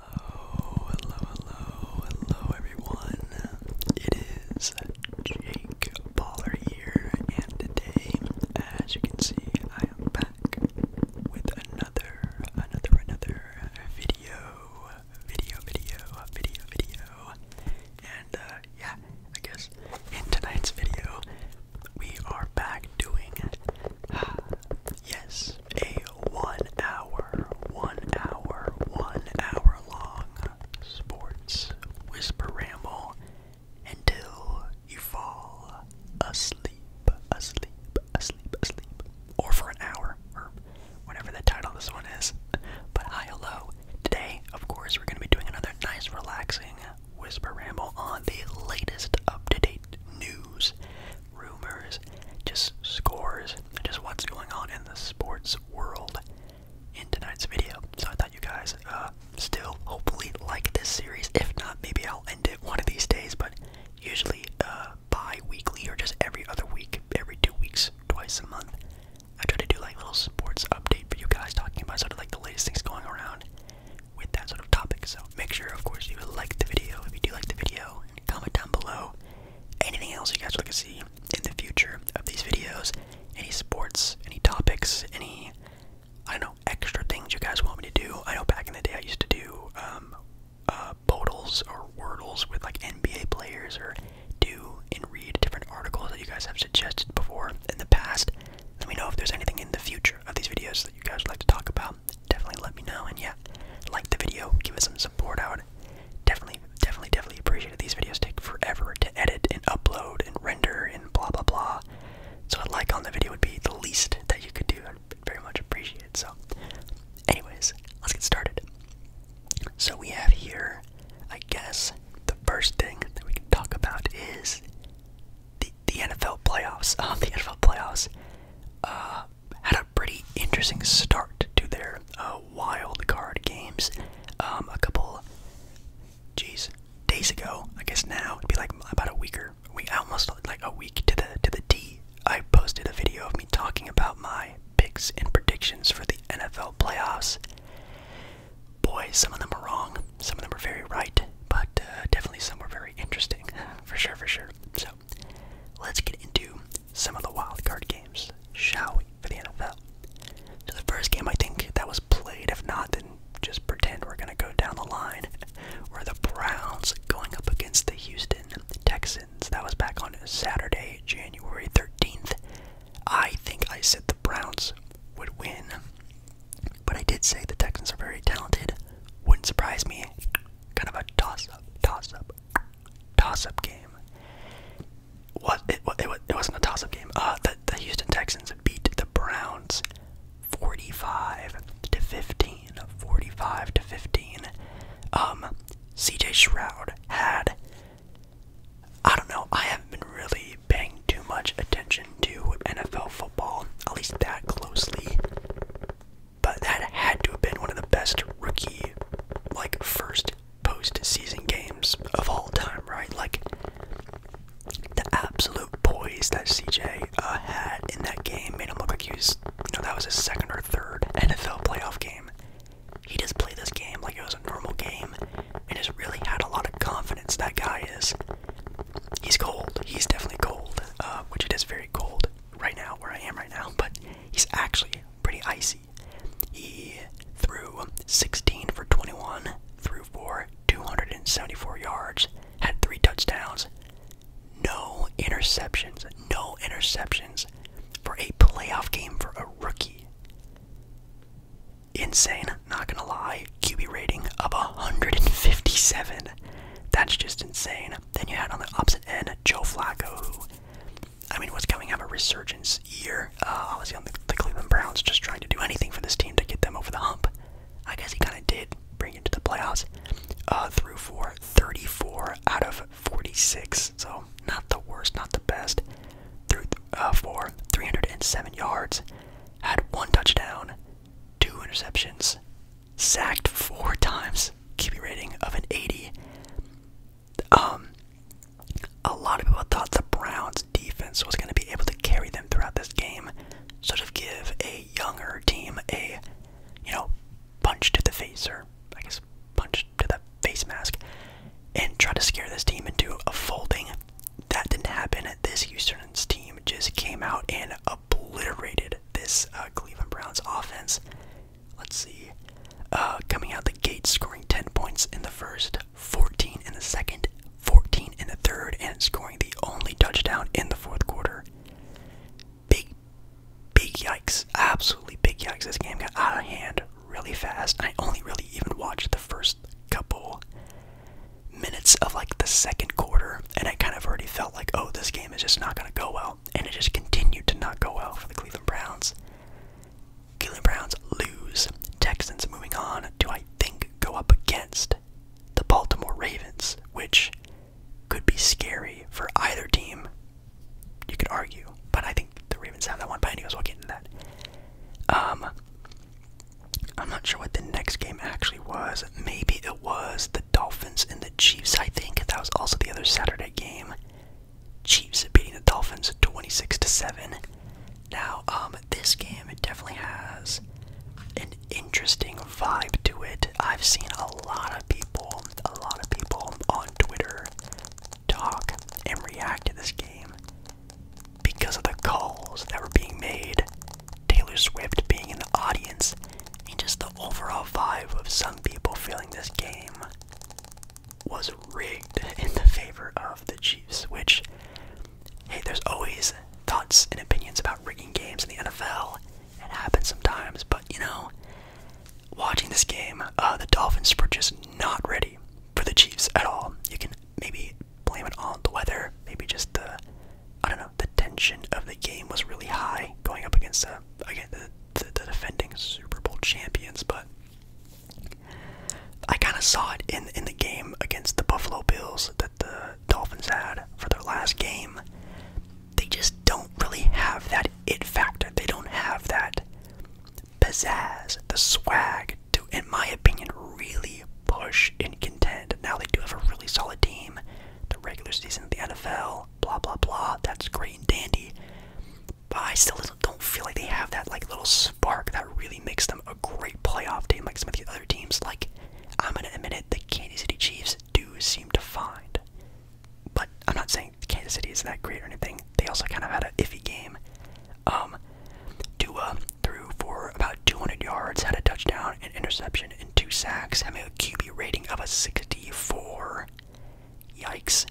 Hello, hello, hello, hello everyone. It is Jake Baller here, and today, as you can see, I am back with another, another, another video, video, video, video, video. And uh, yeah, I guess in tonight's video, we are back doing uh, Yes, a one hour, one hour, one hour long sports whisper ramble until you fall asleep, asleep, asleep, asleep. Or for an hour, or whatever the title of this one is. But hi, hello. Today, of course, we're going to be doing another nice, relaxing whisper ramble on the latest up to date news rumors, just scores, just what's going on in the sports world in tonight's video. So I thought you guys uh, still hopefully like this series. If not, maybe I'll end it one of these days, but usually uh, bi-weekly or just every other week, every two weeks, twice a month. I try to do like little sports update for you guys talking about sort of like the latest things going around with that sort of topic. So make sure of course you like the video. If you do like the video, comment down below anything else you guys would like to see in the future of these videos, any sports, any topics, any I don't know extra things you guys want me to do. I know back in the day I used to do um, uh, bodles or wordles with like NBA players or do and read different articles that you guys have suggested before in the past. Let me know if there's anything in the future of these videos that you guys would like to talk about definitely let me know. And yeah, like the video, give us some support. out. definitely, definitely, definitely appreciate it. These videos take forever to edit and upload and render and blah blah blah. So a like on the video would be the least that you could do. I'd very much appreciate So, anyways, let's get started. So we have here, I guess, the first thing that we can talk about is the NFL playoffs. Um, the NFL playoffs. Uh, had a pretty interesting start to their uh, wild card games. Um, a couple, jeez, days ago. I guess now it'd be like about a week or we almost like a week to the to the D. I posted a video of me talking about my picks and predictions for the NFL playoffs. Boy, some of them are wrong, some of them are very right, but uh, definitely some were very interesting, for sure, for sure. So let's get into some of the wild card games, shall we, for the NFL? So the first game I think that was played, if not, then just pretend we're gonna go down the line, were the Browns going up against the Houston Texans. That was back on Saturday, January 13th. I think I said the Browns would win, but I did say the Texans are very talented. Wouldn't surprise me. Kind of a toss up, toss up toss-up game. What it, it, it wasn't a toss-up game. Uh, the, the Houston Texans beat the Browns 45 to 15. 45 to 15. Um, CJ Shroud had. I don't know. I haven't been really paying too much attention to NFL football, at least that closely. But that had to have been one of the best rookie, like, first post season games of all time, right? Like, the absolute poise that CJ uh, had in that game made him look like he was, you know, that was his second or third NFL playoff game. He just played this game like it was a normal game and just really had a lot of confidence. That guy is. He's cold. He's definitely cold, uh, which it is very cold right now, where I am right now, but he's actually pretty icy. He threw 16 for 21, threw for 274 yards, had three touchdowns, no interceptions, no interceptions for a playoff game for a rookie. Insane, not gonna lie. QB rating of 157. That's just insane. Then you had on the opposite end Joe Flacco, who I mean, was coming out of a resurgence year. Uh, obviously, on the, Cleveland Browns just trying to do anything for this team to get them over the hump. I guess he kind of did bring it to the playoffs. Uh, through for 34 out of 46, so not the worst, not the best. Through uh, four, three 307 yards, had one touchdown, two interceptions, sacked four times, QB rating of an 80. Um, a lot of people thought the Browns' defense was going to be able to carry them throughout this game, sort of give a younger team a, you know, punch to the face, or I guess punch to the face mask, and try to scare this team into a folding. That didn't happen. This Houston's team just came out and obliterated this uh, Cleveland Browns offense. Let's see. Uh, coming out the gates, scoring 10 points in the first, 14 in the second, 14 in the third, and scoring the only touchdown in the fourth quarter. Big, big yikes. Absolutely big yikes. This game got out of hand really fast. I only really even watched the first couple minutes of like the second quarter, and I kind of already felt like, oh, this game is just not going to go well and it just continued to not go well for the Cleveland Browns. Cleveland Browns lose. Texans moving on to, I think, go up against the Baltimore Ravens, which could be scary for either team. You could argue, but I think the Ravens have that one. But anyways, we'll get into that. Um, I'm not sure what the next game actually was. Maybe it was the. Dolphins and the Chiefs, I think. That was also the other Saturday game. Chiefs beating the Dolphins 26 to 7. Now, um, this game definitely has an interesting vibe to it. I've seen a lot of people, a lot of people on Twitter talk and react to this game because of the calls that were being made, Taylor Swift being in the audience, and just the overall vibe of some people feeling this game was rigged in the favor of the Chiefs, which, hey, there's always thoughts and opinions about rigging games in the NFL. It happens sometimes, but you know, watching this game, uh, the Dolphins were just not ready for the Chiefs at all. You can maybe blame it on the weather, maybe just the, I don't know, the tension of the game was really high going up against, uh, again, the, the, defending Super Bowl champions, but I kind of saw it in in the game against the Buffalo Bills that the Dolphins had for their last game. They just don't really have that it factor. They don't have that pizzazz, the swag to, in my opinion, really push and contend. Now they do have a really solid team. The regular season of the NFL, blah blah blah. That's great and dandy, but I still don't feel like they have that like little spark that really makes them a great playoff team like some of the other teams. Like I'm gonna admit it, the Kansas City Chiefs do seem to find. But I'm not saying Kansas City is that great or anything. They also kind of had a iffy game. Dua um, threw for about 200 yards, had a touchdown, and interception, and two sacks, having a QB rating of a 64. Yikes.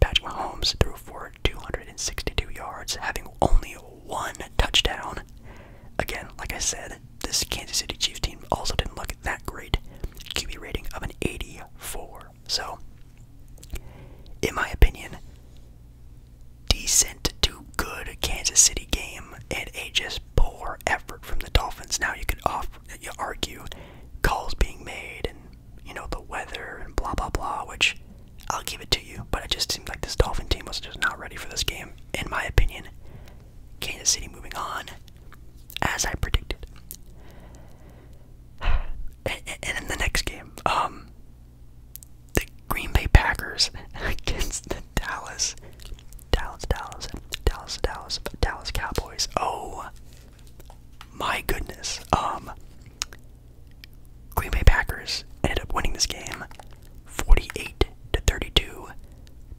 Patrick Mahomes threw for 262 yards, having only one touchdown. Again, like I said, this Kansas City Chiefs team also didn't look that great. QB rating of an 84. So, in my opinion, decent to good Kansas City game and a just poor effort from the Dolphins. Now you could off you argue calls being made and you know the weather and blah blah blah, which I'll give it to you, but it just seemed like this Dolphin team was just not ready for this game, in my opinion. Kansas City moving on, as I predicted. And, in the next game, um, the Green Bay Packers against the Dallas, Dallas, Dallas, Dallas, Dallas, Dallas Cowboys. Oh my goodness. Um, Green Bay Packers ended up winning this game 48 to 32,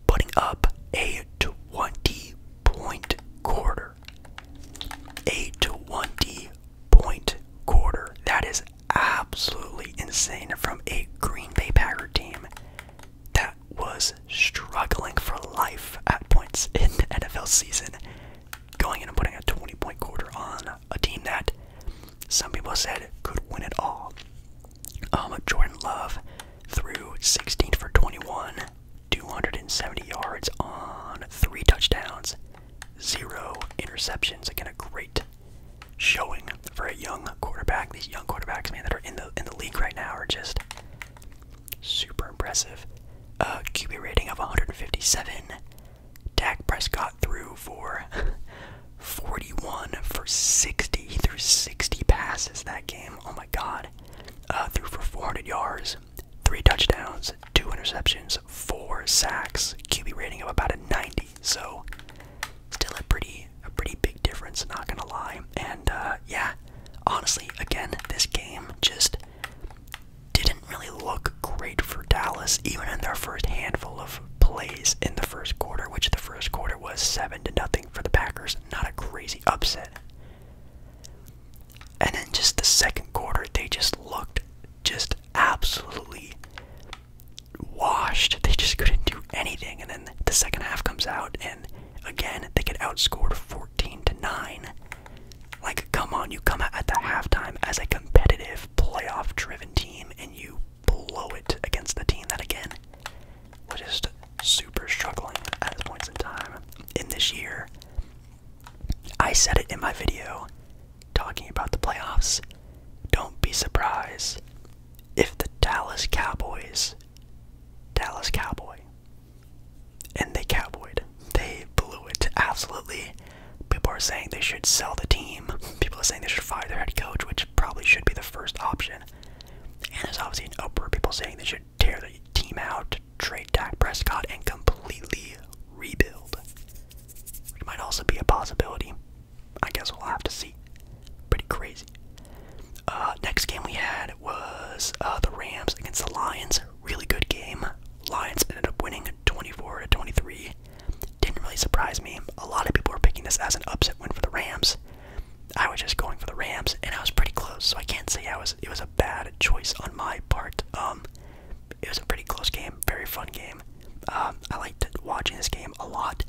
putting up a 20 point quarter. A 20 point quarter. That is absolutely insane from a Green Bay Packer team that was struggling for life at points in the NFL season, going in and putting a 20 point quarter on a team that some people said could win it all. Um, Jordan Love threw 16 for 21, 270 yards on three touchdowns, zero interceptions. Again, a great showing for a young quarterback. These young quarterbacks, man, that are in the in the league right now are just Super impressive. Uh, QB rating of 157. Dak Prescott threw for 41 for 60. He threw 60 passes that game. Oh my god. Uh, threw for 400 yards, three touchdowns, two interceptions, four sacks. QB rating of about a 90. So still a pretty a pretty big difference. Not gonna lie. And uh, yeah, honestly, again, this game just didn't really look great for Dallas, even in their first handful of plays in the first quarter, which the first quarter was seven to nothing for the Packers. Not a crazy upset. And then just the second quarter, they just looked just absolutely washed. They just couldn't do anything. And then the second half comes out, and again they get outscored 14 to nine. Like, come on, you come at the halftime as a competitive, playoff driven team and you blow it against the team that, again, was just super struggling at this points in time. In this year, I said it in my video talking about the playoffs. Don't be surprised if the Dallas Cowboys, Dallas Cowboy, and they cowboied. They blew it. Absolutely. People are saying they should sell the team. People are saying they should fire their head coach, which probably should be the first option. And there's obviously an uproar. People saying they should tear the team out, trade Dak Prescott, and completely rebuild. Which might also be a possibility. I guess we'll have to see. Pretty crazy. Uh, next game we had was uh, the Rams against the Lions. Really good game. Lions ended up winning 24 to 23. Didn't really surprise me. A lot of people were picking this as an upset win for the Rams. I was just going for the Rams, and I was pretty close, so I can't say I was. It was a bad choice on my part. Um, it was a pretty close game, very fun game. Um, I liked watching this game a lot.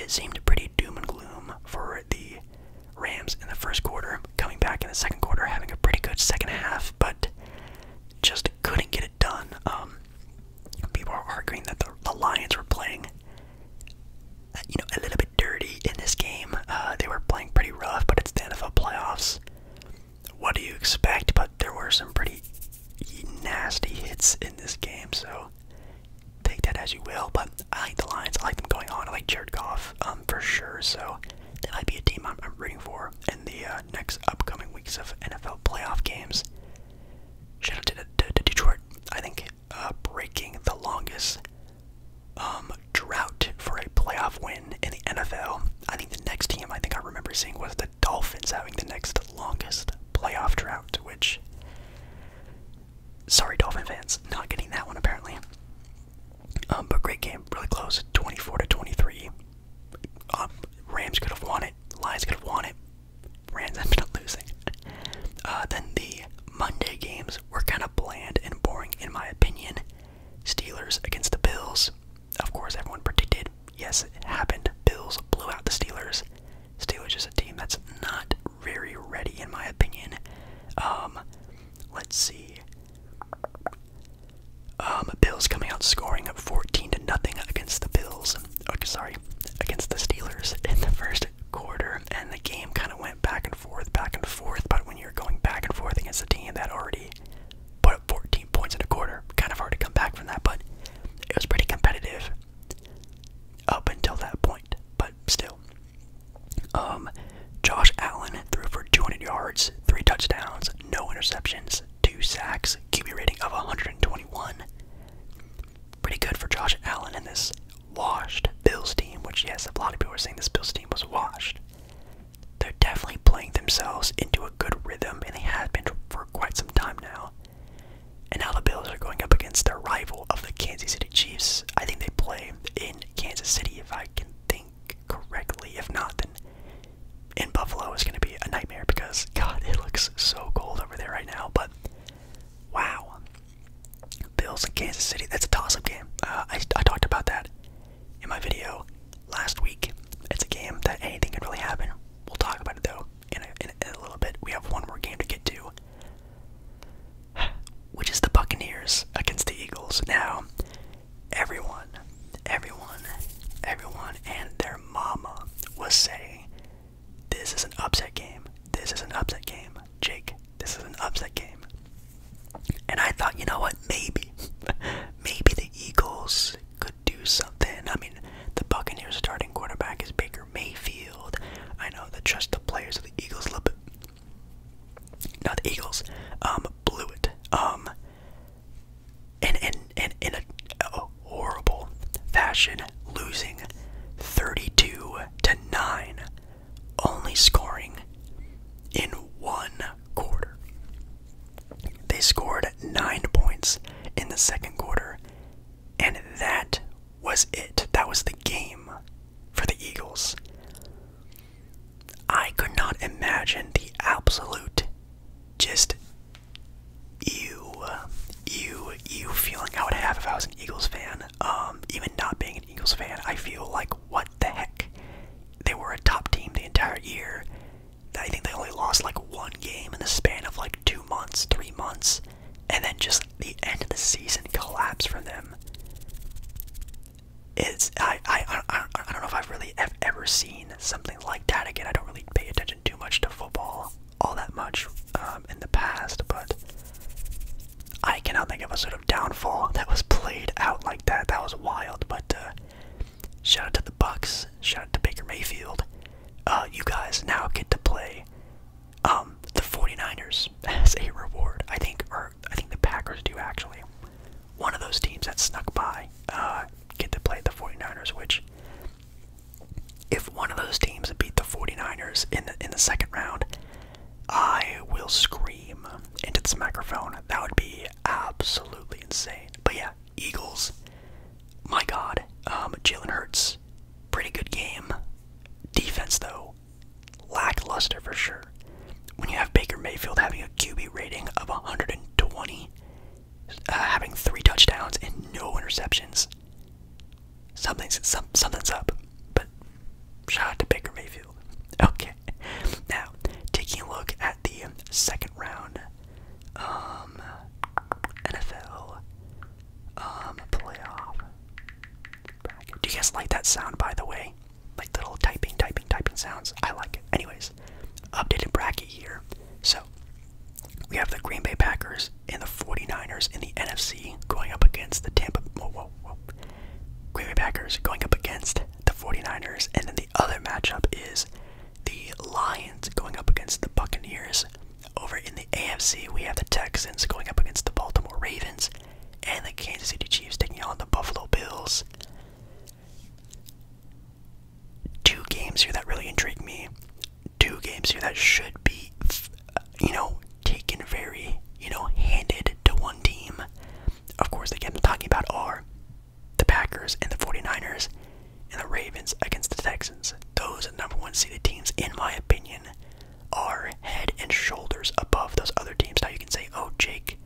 It seemed pretty doom and gloom for the Rams in the first quarter, coming back in the second quarter, having a pretty good second half, but just couldn't get it done. Um, people are arguing that the, Lions were playing, uh, you know, a little bit dirty in this game. Uh, they were playing pretty rough, but it's the NFL playoffs. What do you expect? But there were some pretty nasty hits in this game, so take that as you will. But I like the Lions. I like them going on. I like Jared Goff. Um, um, for sure. So that might be a team I'm, rooting for in the uh, next upcoming weeks of NFL playoff games. Shout out to, to, Detroit. I think uh, breaking the longest um, drought for a playoff win in the NFL. I think the next team I think I remember seeing was the Dolphins having the next longest playoff drought, which. Sorry, Dolphin fans, not getting that one apparently. Um, but great game, really close, 24 to 23. Um, Rams could have won it. Lions could have won it. Rams ended up losing. Uh, then the Monday games were kind of bland and boring, in my opinion. Steelers against the Bills. Of course, everyone predicted. Yes, it happened. Bills blew out the Steelers. Steelers is a team that's not very ready, in my opinion. Um, Let's see. Um, Bills coming out scoring 14 to nothing against the Bills. Okay, oh, sorry, against the Steelers in the first quarter, and the game kind of went back and forth, back and forth. But when you're going back and forth against a team that already put up 14 points in a quarter, kind of hard to come back from that. But it was pretty competitive up until that point. But still, um, Josh Allen threw for 200 yards, three touchdowns, no interceptions, two sacks, QB rating of 121. Pretty good for Josh Allen in this washed Bills team, which, yes, a lot of people are saying this Bills team was washed. They're definitely playing themselves into a good rhythm, and they have been for quite some time now. And now the Bills are going up against their rival of the Kansas City Chiefs. I think they play in Kansas City, if I can think correctly. If not, then in Buffalo is going to be a nightmare because, God, it looks so cold over there right now. But wow. Bills in Kansas City, that's a toss up game. Uh, I, talked about that in my video last week. It's a game that anything can really happen. We'll talk about it though in a little bit. We have one more game to get to. Which is the Buccaneers against the Eagles. Now, Everyone, everyone, everyone, and their mama was saying, This is an upset game. This is an upset game. Jake, this is an upset game. And I thought, you know what? Maybe, maybe the Eagles could do something. I mean, the Buccaneers' starting quarterback is Baker Mayfield. I know the trust the players of the Eagles a bit, not the Eagles, um, blew it. Um, and in and, in and a, a horrible fashion, losing 32 to 9, only scoring in one quarter. They scored nine points in the second quarter, and that was it. That was the game for the Eagles. I could not imagine the absolute just you, you, you feeling I would have if I was an Eagles fan. Um, even not being an Eagles fan, I feel like what the heck? They were a top team the entire year. I think they only lost like one game in the span of like two months, three months, and then just the end of the season collapsed for them it's I I I I don't know if I've really have ever seen something like that again. I don't really pay attention too much to football all that much um, in the past, but I cannot think of a sort of downfall that was played out like that. That was wild. But uh, shout out to the Bucks. Shout out to Baker Mayfield. Uh, you guys now get to play um, the 49ers as a reward. I think, or I think the Packers do actually one of those teams that snuck by uh, get to play the 49ers, which if one of those teams beat the 49ers in the, in the second round, I will scream into this microphone. That would be absolutely insane. But yeah, Eagles, my God, um, Jalen Hurts, pretty good game. Defense though, lackluster for sure. When you have Baker Mayfield having a QB rating of 120, uh, having three touchdowns and no interceptions, something's some, something's up. But shout out to Baker Mayfield. Okay, now taking a look at the second round, um, NFL, um, playoff. Do you guys like that sound, by the way? like little typing, typing, typing sounds. I like it. Anyways, updated bracket here. So we have the Green Bay Packers and the 49ers in the NFC going up against the Tampa. Whoa, whoa, whoa. Green Bay Packers going up against the 49ers, and then the other matchup is the Lions going up against the Buccaneers. Over in the AFC, we have the Texans going up against the Baltimore Ravens and the Kansas City Chiefs taking on the Buffalo Bills two games here that really intrigue me. Two games here that should be, you know, taken very, you know, handed to one team. Of course, the game I'm talking about are the Packers and the 49ers and the Ravens against the Texans. Those number one seeded teams, in my opinion, are head and shoulders above those other teams. Now you can say, oh, Jake,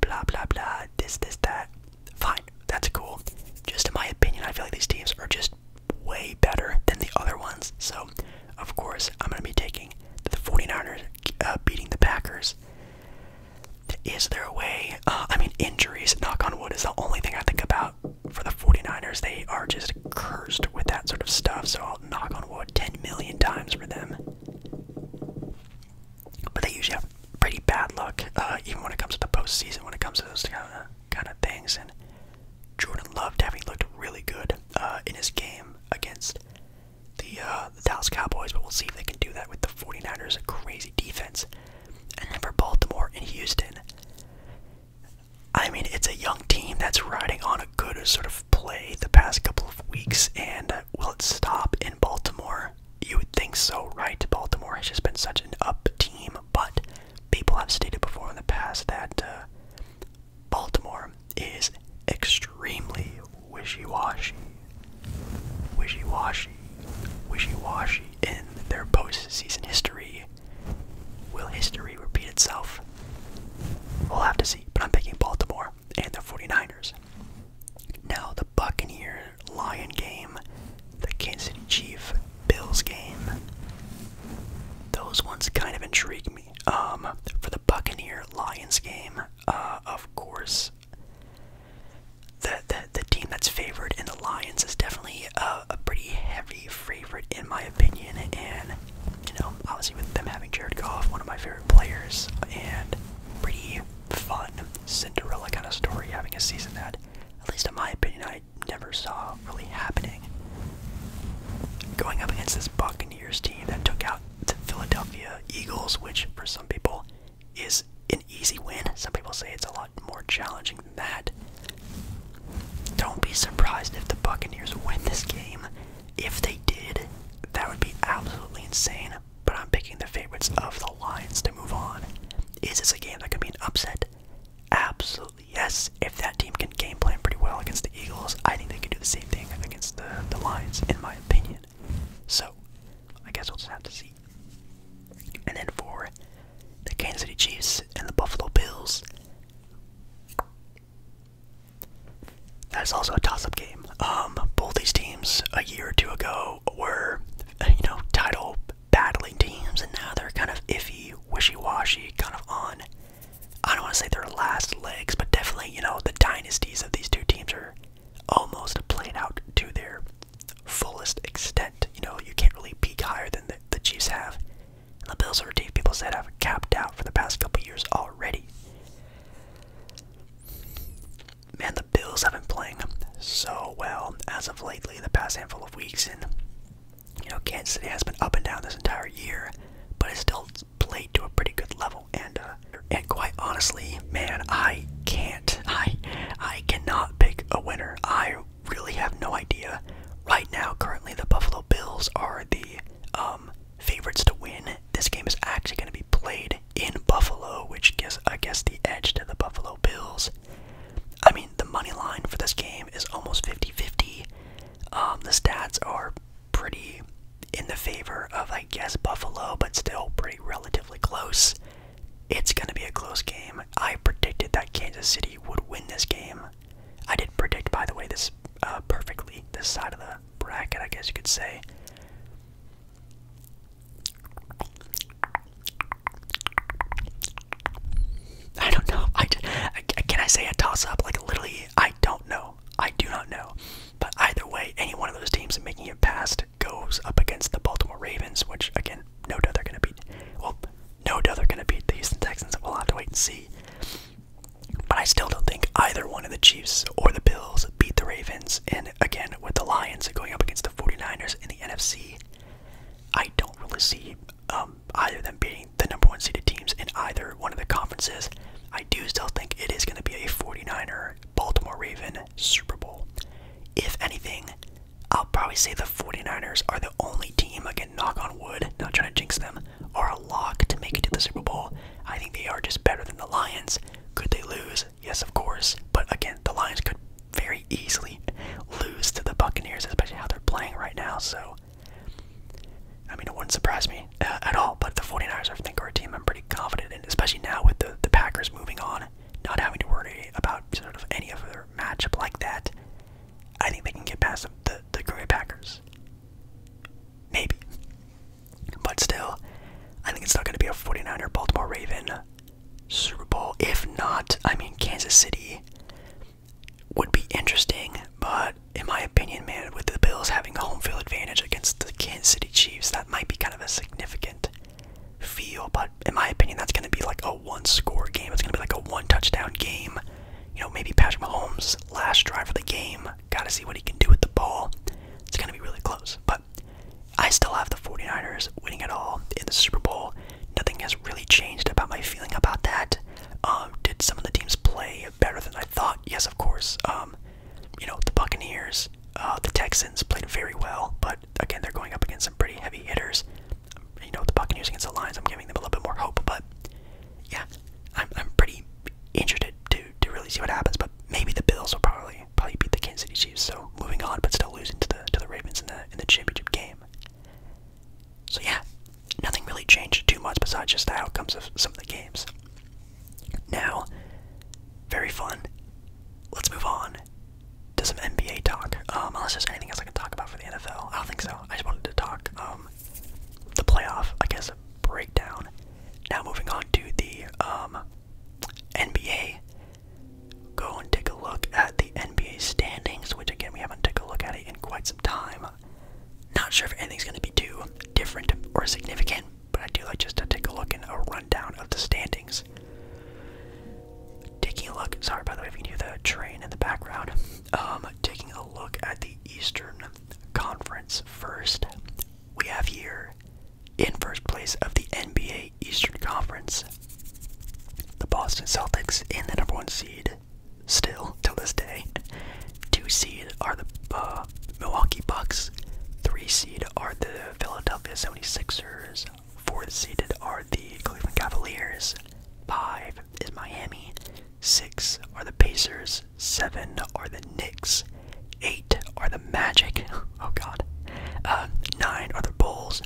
blah blah blah, this, this, that. Fine, that's cool. Just in my opinion, I feel like these teams are just way better than the other ones. So, of course, I'm going to be taking the 49ers uh, beating the Packers. Is there a way? Uh, I mean, injuries, knock on wood, is the only thing I think about for the 49ers. They are just cursed with that sort of stuff. So, I'll knock on wood 10 million times for them. But they usually have pretty bad luck, uh, even when it comes to the postseason, when it comes to those kind of, kind of things. And Jordan loved having looked really good uh, in his game against the, uh, the Dallas Cowboys, but we'll see if they can do that with the 49ers, a crazy defense. And then for Baltimore and Houston, I mean, it's a young team that's riding on a good sort of play the past couple of weeks, and uh, will it stop in Baltimore? You would think so, right? Baltimore has just been such an up team, but people have stated before in the past that uh, Baltimore is extremely wishy-washy, wishy-washy, wishy-washy in their postseason history. Will history repeat itself? We'll have to see, but I'm picking Baltimore and the 49ers. Now, the Buccaneer Lions game, the Kansas City Chief Bills game, those ones kind of intrigue me. Um, for the Buccaneer Lions game, uh, of course, the, the, the team that's favored in the Lions is definitely a, a pretty heavy favorite, in my opinion. And, you know, obviously, with them having Jared Goff, one of my favorite players, and pretty fun Cinderella kind of story having a season that, at least in my opinion, I never saw really happening. Going up against this Buccaneers team that took out the Philadelphia Eagles, which for some people is an easy win. Some people say it's a lot more challenging than that. Don't be surprised if the Buccaneers win this game. If they did, that would be absolutely insane but I'm picking the favorites of the Lions to move on. Is this a game that could be an upset? Absolutely yes. If that team can game plan pretty well against the Eagles, I think they can do the same thing against the, the Lions, in my opinion. So, I guess we'll just have to see. And then for the Kansas City Chiefs and the Buffalo Bills, that's also a toss-up game. Um, both these teams a year or two ago were, you know, title battling teams, and now they're kind of iffy, wishy-washy, kind of on. I don't want to say their last legs, but definitely, you know, the dynasties of these two teams are almost playing out to their fullest extent. You know, you can't really peak higher than the, the Chiefs have. And the Bills are a people said have capped out for the past couple years already man, the Bills have been playing so well as of lately, the past handful of weeks, and you know, Kansas City has been up and down this entire year, but it's still played to a pretty good level. And uh, and quite honestly, man, I can't, I I cannot pick a winner. I really have no idea. Right now, currently, the Buffalo Bills are the um, favorites to win. This game is actually going to be played in Buffalo, which gives, I guess, the edge to the Buffalo Bills. I mean, the money line for this game is almost 50 50. Um, the stats are pretty in the favor of, I guess, Buffalo, but still pretty relatively close. It's going to be a close game. I predicted that Kansas City would win this game. I did predict, by the way, this uh, perfectly, this side of the bracket, I guess you could say. I don't know. I can I say a toss up? Like literally, I don't know. I do not know. But either way, any one of those teams making it past goes up against the Baltimore Ravens, which again, no doubt they're gonna beat. Well, no doubt they're gonna beat the Houston Texans. We'll have to wait and see. But I still don't think either one of the Chiefs or the Bills beat the Ravens. And again, with the Lions going up against the 49ers in the NFC. I don't really see um, either of them beating the number one seeded teams in either one of the conferences. I do still think it is going to be a 49er Baltimore Raven Super Bowl. If anything, I'll probably say the 49ers are the only team, can knock on wood, not trying to jinx them, are a lock to make it to the Super Bowl. I think they are just better than the Lions. Could they lose? Yes, of course. But again, the Lions could very easily lose to the Buccaneers, especially how they're playing right now. So, I mean, it wouldn't surprise me uh, at all. But the 49ers, I think, are team I'm pretty confident in, especially now with the, the Packers moving on, not having to worry about sort of any other matchup like that. I think they can get past the, the, Green Packers. Maybe. But still, I think it's still going to be a 49er Baltimore Raven Super Bowl. If not, I mean, Kansas City would be interesting, but in my opinion, man, with the Bills having a home field advantage against the Kansas City Chiefs, that might be kind of a significant feel. But in my opinion, that's going to be like a one score game. It's going to be like a one touchdown game. You know, maybe Patrick Mahomes' last drive for the game. Got to see what he can do with the ball. It's going to be really close. But I still have the 49ers winning it all in the Super Bowl. Nothing has really changed about my feeling about that. Um, did some of the teams play better than I thought? Yes, of course. Um, you know, the Buccaneers, uh, the Texans played very well, but again, they're going up against some pretty heavy hitters. You know, the Buccaneers against the Lions, I'm giving them a little bit more hope, but yeah, I'm, I'm pretty interested to, to really see what happens, but maybe the Bills will probably probably beat the Kansas City Chiefs. So moving on, but still losing to the to the Ravens in the in the championship game. So yeah, nothing really changed too much besides just the outcomes of some of the games. Now, very fun. Let's move on to some NBA talk. Um, unless there's anything else I can talk about for the NFL, I don't think so. I just wanted to talk um, the playoff, I guess, breakdown. Now moving on to the um, NBA, go and take a look at the NBA standings, which again we haven't taken a look at it in quite some time. Not sure if anything's going to be too different or significant, but I do like just to take a look and a rundown of the standings. Taking a look, sorry by the way if you can hear the train in the background. Um, taking a look at the Eastern Conference first, we have here in first place of the NBA Eastern Conference. The Boston Celtics in the number one seed, still till this day. Two seed are the uh, Milwaukee Bucks. Three seed are the Philadelphia 76ers. Fourth seeded are the Cleveland Cavaliers. Five is Miami. Six are the Pacers. Seven are the Knicks. 8 are the Magic. Oh god. Um, 9 are the Bulls.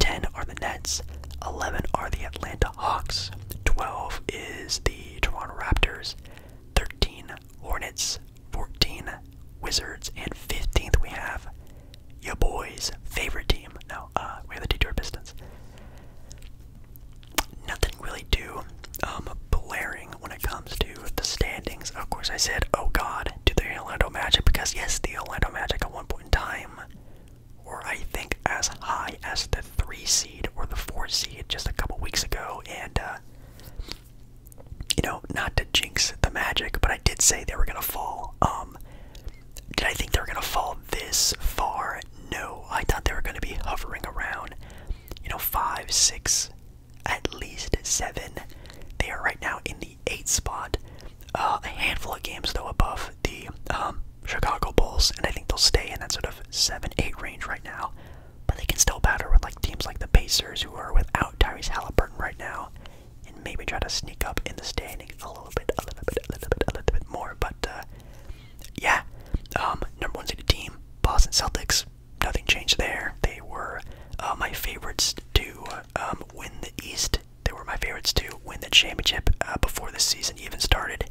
10 are the Nets. 11 are the Atlanta Hawks. 12 is the Toronto Raptors. 13 Hornets. 14 Wizards. And 15th we have your boy's favorite team. No, uh, we have the Detroit Pistons. Nothing really to um, blare when it comes to the standings. Of course, I said, oh god, to the Orlando Magic, because yes, the Orlando Magic at one point in time were, I think, as high as the 3 seed or the 4 seed just a couple weeks ago. And, uh, you know, not to jinx the Magic, but I did say they were going to fall. Um, did I think they were going to fall this far? No. I thought they were going to be hovering around, you know, 5, 6, at least seven. They are right now in the eighth spot, uh, a handful of games though above the um, Chicago Bulls, and I think they'll stay in that sort of seven, eight range right now. But they can still battle with like teams like the Pacers, who are without Tyrese Halliburton right now, and maybe try to sneak up in the standings a little bit, a little bit, a little bit, a little bit more. But uh, yeah, um, number one seeded team, Boston Celtics nothing changed there. They were uh, my favorites to um, win the East. They were my favorites to win the championship uh, before the season even started.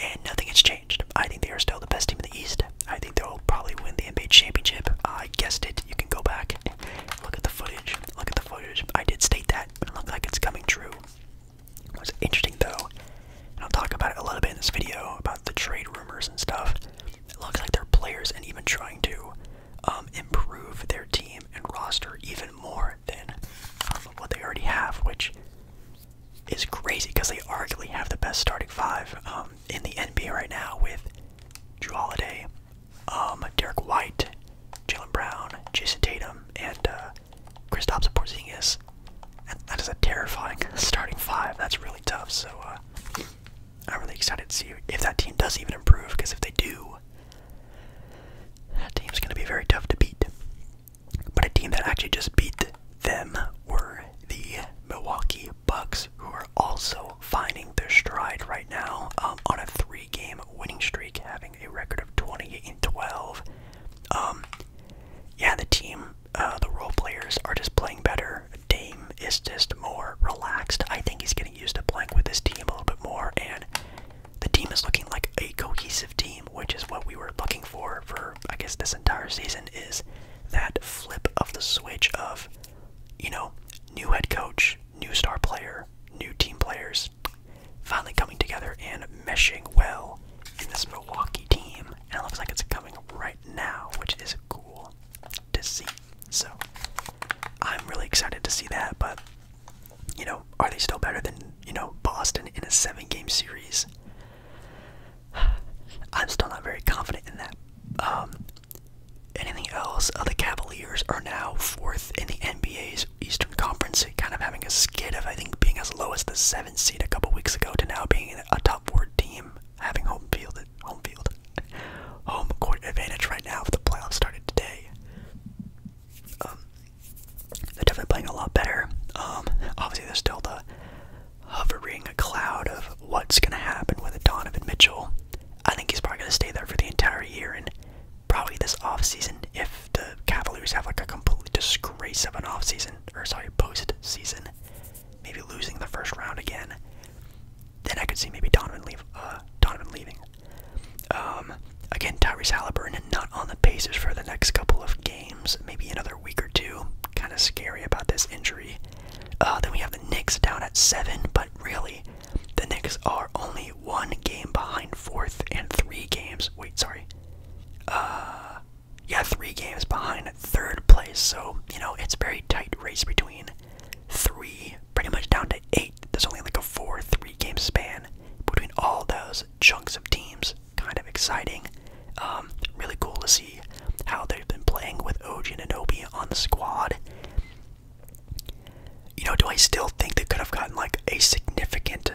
And nothing has changed. I think they are still the best team in the East. I think they'll probably win the NBA championship. I guessed it. You can go back, look at the footage. Look at the footage. I did state that. It looked like it's coming true. What's interesting though, I'll talk about it a little bit in this video about the trade rumors and stuff it looks like their players and even trying to um, improve their team and roster even more than um, what they already have, which is crazy because they arguably have the best starting five um, in the NBA right now with Drew Holiday, um, Derek White, Jalen Brown, Jason Tatum, and uh, Kristaps Porzingis. that is a terrifying starting five. That's really tough. So uh, I'm really excited to see if that team does even improve, because if they do, that team's going to be very tough to beat. But a team that actually just beat them were the Milwaukee Bucks, who are also finding their stride right now um, on a three-game winning streak, having a record of 28 and 12. Um, yeah, the team, uh, the role players are just playing better. Dame is just more relaxed. I think he's getting used to playing with his team a little bit more, and the team is looking like a cohesive team, which is what we were looking for for I guess this entire season is that flip of the switch of you know new head coach, new star player, new team players finally coming together and meshing well in this Milwaukee team, and it looks like it's coming right now, which is cool to see. So I'm really excited to see that, but you know, are they still better than, you know, Boston in a seven game series? I'm still not very confident in that. Um, anything else? Uh, the Cavaliers are now fourth in the NBA's Eastern Conference, kind of having a skid of, I think, being as low as the seventh seed a couple weeks ago to now being a top four team having home field home field home court advantage right now if the playoffs started today. Um, they're definitely playing a lot better. Um, obviously there's still the hovering cloud of what's gonna happen with Donovan Mitchell. I think he's probably gonna stay there for the entire year and probably this offseason if the Cavaliers have like a complete disgrace of an offseason or sorry, post season maybe losing the first round again. Then I could see maybe Donovan uh, leaving. Um, again, Tyrese Halliburton not on the Pacers for the next couple of games, maybe another week or two. Kind of scary about this injury. Uh, then we have the Knicks down at seven, but really, the Knicks are only one game behind fourth and three games. Wait, sorry. Uh, yeah, three games behind third place. So you know it's very tight race between three, pretty much down to eight. There's only like a four, three game span between all those chunks of teams. Kind of exciting. Um, really cool to see how they've been playing with Oji and Anobi on the squad. You know, do I still think they could have gotten like a significant,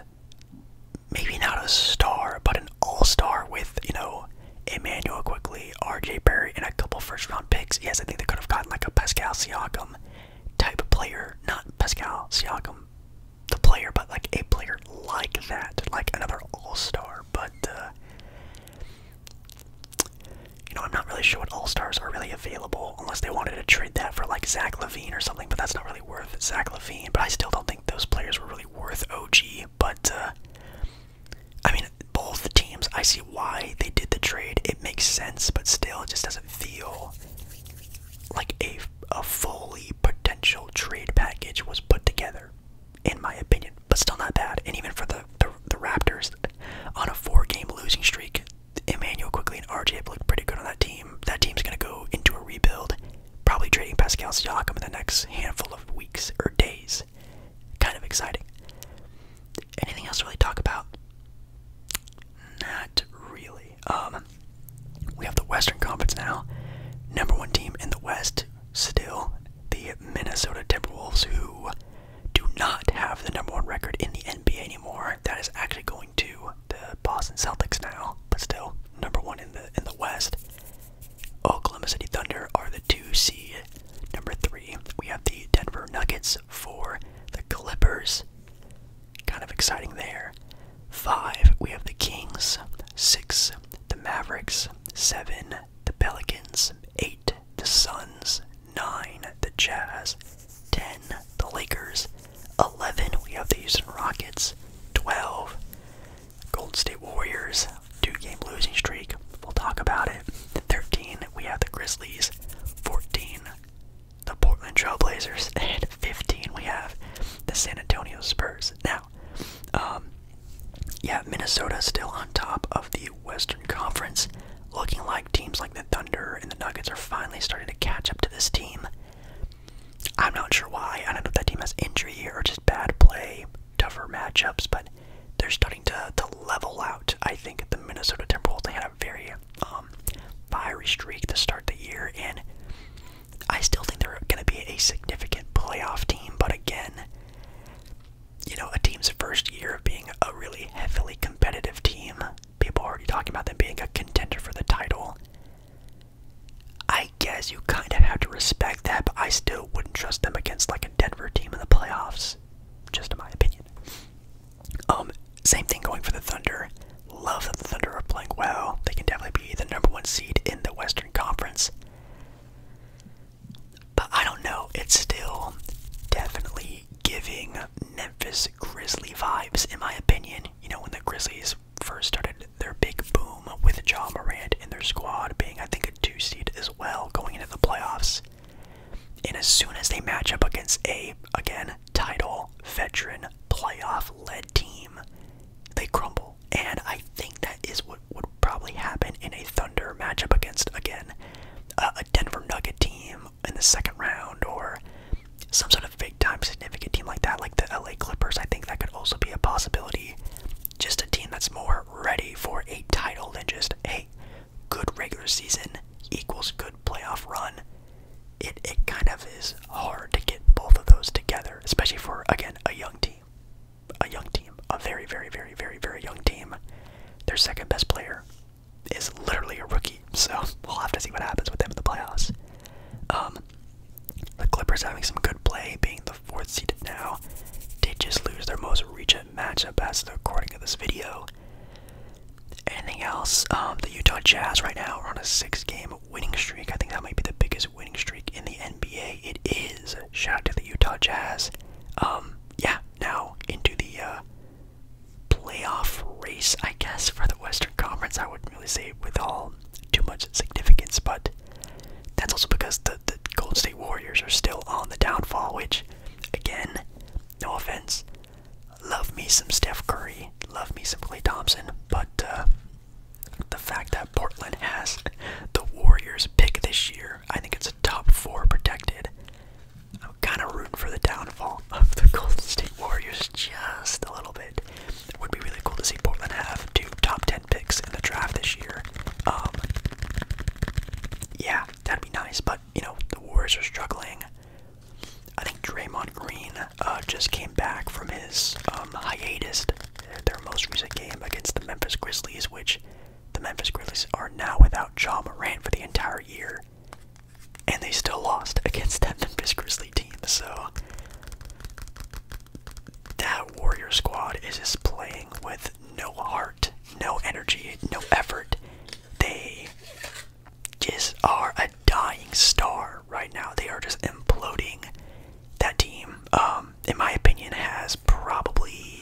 maybe not a star, but an all star with, you know, Emmanuel quickly, RJ Berry, and a couple first round picks. Yes, I think they could have gotten like a Pascal Siakam type of player. Not Pascal Siakam, the player, but like a player like that, like another all star. But, uh, you know, I'm not really sure what all stars are really available unless they wanted to trade that for like Zach Levine or something, but that's not really worth Zach Levine. But I still don't think those players were really worth OG. But, uh, I mean, both teams, I see why they did the trade. It makes sense, but still, it just doesn't feel like a, a fully potential trade package was put together, in my opinion. But still not bad. And even for the, the, Raptors, on a four game losing streak, Emmanuel quickly and RJ have looked pretty good on that team. That team's going to go into a rebuild, probably trading Pascal Siakam in the next handful of weeks or days kind of exciting. Anything else to really talk about? Not really. Um, we have the Western Conference now. Number one team in the West, still the Minnesota Timberwolves, who do not have the number one record in the NBA anymore. That is actually going to the Boston Celtics now, but still number one in the in the West. Oklahoma City Thunder are the two C. Number three, we have the Denver Nuggets. Four, the Clippers. Kind of exciting there. Five, we have the Kings. Six, the Mavericks. Seven, the Pelicans. Eight, the Suns. Nine, the Jazz. Ten, the Lakers. Eleven, we have the Houston Rockets. Twelve, Golden State Warriors. Two game losing streak. We'll talk about it. 13, we have the Grizzlies. 14, the Portland Trailblazers. And 15, we have the San Antonio Spurs. Now, um, yeah, Minnesota still on top of the Western Conference, looking like teams like the Thunder and the Nuggets are finally starting to catch up to this team. I'm not sure why. I don't know if that team has injury or just bad play, tougher matchups, but they're starting to, to level out. I think the Minnesota Timberwolves they had a very um, fiery streak to start the year, and I still think they're going to be a significant playoff team. But again, you know, a team's first year of being a really heavily competitive team, people are already talking about them being a contender for the title. I guess you kind of have to respect that, but I still wouldn't trust them against like a Denver team in the playoffs. Just in my opinion. Um, same thing going for the Thunder. Love that the Thunder are playing well. They can definitely be the number one seed in the Western Conference. But I don't know. It's still definitely giving Memphis Grizzly vibes, in my opinion. You know, when the Grizzlies first started their big boom with John Morant and their squad being, I think, a two seed as well going into the playoffs. And as soon as they match up against a, again, title, veteran, playoff led team, they crumble. And I think that is what would probably happen in a Thunder matchup against, again, a Denver Nugget team in the second round or some sort of big time significant team like that, like the LA Clippers. I think that could also be a possibility. Just a team that's more ready for a title than just, a good regular season equals good playoff run. It it kind of is hard to get both of those together, especially for again a young team, a young team, a very very very very very young team. Their second best player is literally a rookie, so we'll have to see what happens with them in the playoffs. Um, the Clippers having some good play, being the fourth seeded now. Did just lose their most recent matchup as the recording of this video. Anything else? Um, the Utah Jazz right now are on a six-game winning streak. I think that might be the biggest winning streak in the NBA. It is. Shout out to the Utah Jazz. Um, yeah, now into the uh, playoff race, I guess, for the Western Conference. I wouldn't really say with all too much significance, but that's also because the Golden State Warriors are still on the downfall, which, again, no offense. Love me some Steph Curry, love me some Clay Thompson, but uh, the fact that Portland has the Warriors pick this year, I think it's a top four protected. I'm kind of rooting for the downfall of the Golden State Warriors just a little bit. It would be really cool to see Portland have two top 10 picks in the draft this year. Um, yeah, that'd be nice, but you know, the Warriors are struggling. I think Draymond Green uh, just came back from his um, hiatus, their most recent game against the Memphis Grizzlies, which the Memphis Grizzlies are now without John Moran for the entire year, and they still lost against that Memphis Grizzlies team. So that Warrior squad is just playing with no heart no energy, no effort. They just are a dying star right now. They are just imploding. That team, um, in my opinion, has probably.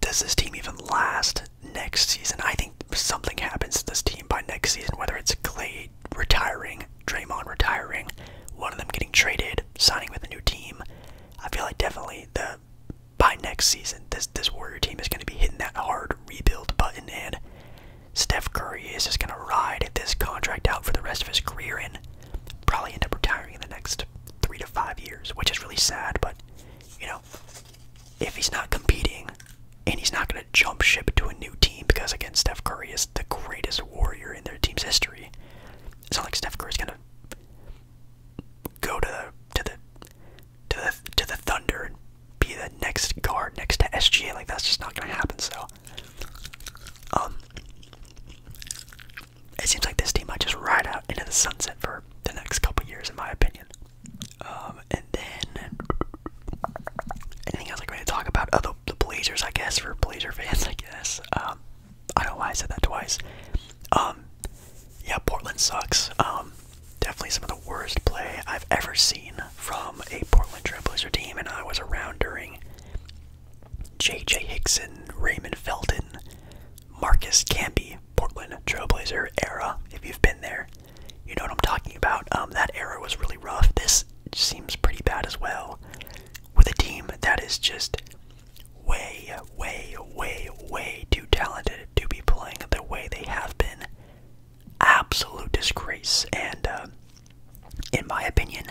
Does this team even last next season? I think something happens to this team by next season, whether it's Clay retiring, Draymond retiring, one of them getting traded, signing with a new team. I feel like definitely the by next season, this this Warrior team is going to be hitting that hard rebuild button, and Steph Curry is just going to ride this contract out for the rest of his career and probably end up retiring in the next three to five years, which is really sad. But you know, if he's not competing and he's not going to jump ship to a new team, because again, Steph Curry is the greatest Warrior in their team's history. It's not like Steph Curry is going to go to to the to the to the Thunder and be the next guard next to SGA. Like that's just not gonna happen. So, um, it seems like this team might just ride out into the sunset for the next couple years, in my opinion. Um, and then anything else I'm going to talk about? Oh, the, Blazers, I guess, for Blazer fans, I guess. Um, I don't know why I said that twice. Um, yeah, Portland sucks. Um, definitely some of the worst play I've ever seen from a Portland Trailblazer team, and I was around during J.J. Hickson, Raymond Felton, Marcus Camby, Portland Trailblazer era. If you've been there, you know what I'm talking about. Um, that era was really rough. This seems pretty bad as well, with a team that is just way, way, way, way too talented to be playing the way they have been. Absolute disgrace, and uh, in my opinion,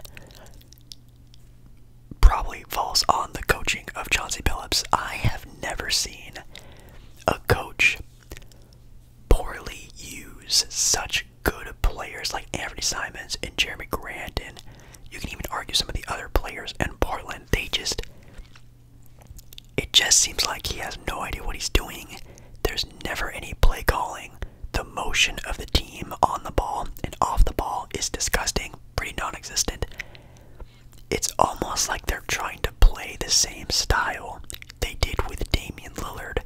probably falls on the coaching of Chauncey Phillips. I have never seen a coach poorly use such good players like Anthony Simons and Jeremy Grandin. You can even argue some of the other players and Portland. They just. It just seems like he has no idea what he's doing. There's never any play calling. The motion of the team on the ball and off the ball is disgusting, pretty non existent. It's almost like they're trying to play the same style they did with Damian Lillard,